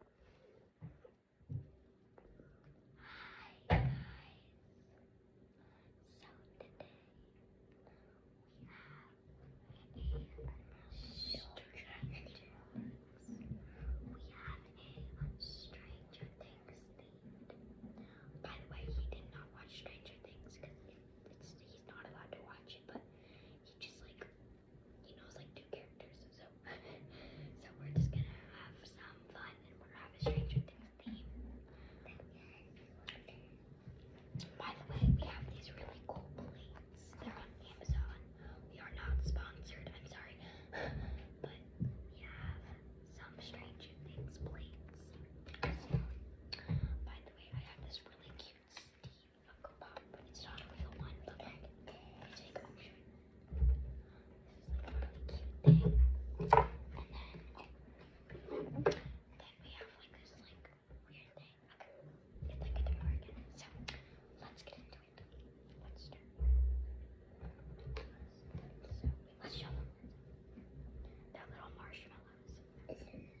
Hi guys. So today we have a Stranger Things. We have a Stranger Things themed. By the way, he did not watch Stranger Things because it's, he's not allowed to watch it, but he just like you know, it's like two characters, so so we're just gonna have some fun and we're gonna have a Stranger Things theme. By the way, we have these really cool plates. They're on Amazon. We are not sponsored, I'm sorry. but we have some Stranger Things plates. By the way, I have this really cute Steve Uncle Bob, but it one, but then you take This is like really cute thing. And then, then we have like this like weird thing. It's like a door again. So let's get into it. Let's So let's show them. they little marshmallows. Is it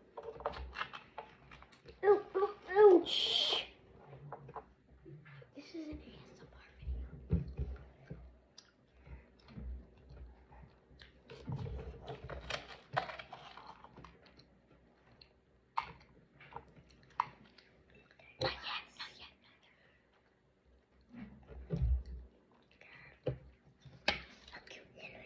Ooh, ooh, ouch. This is an ASMR video. Not yet, not yet. Look, you yellow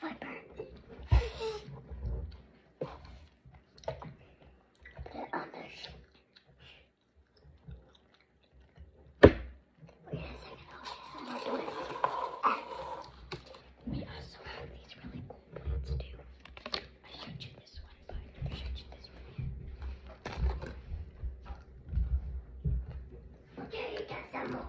flipper. Put it Wait a 2nd We also have these really cool plants too. I showed you this one, but I showed you this one yet. Okay, you got some more.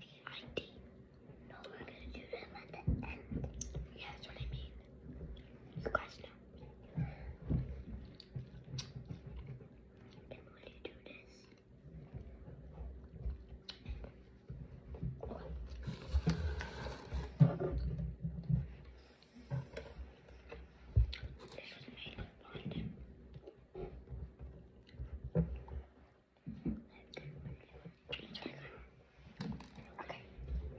EXT, No, we're gonna do them at the end. Yeah, what I mean. You guys know. And when you do this, this was made Okay,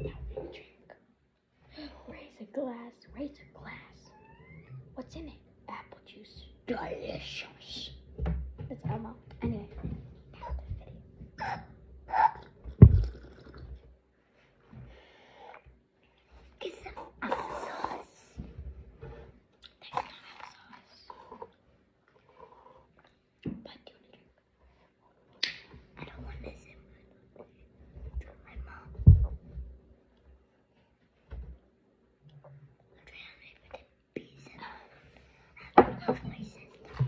now we drink. Razor glass, razor glass. What's in it? Apple juice. Delicious. That's Elmo. Anyway, now the video. Get some apple sauce. Tastes you I don't want this in my mom. I'm trying to make the bees in I have to go for my sister.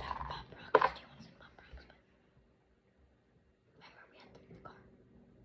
That pop rocks. you want some pop rocks? But my mom had them in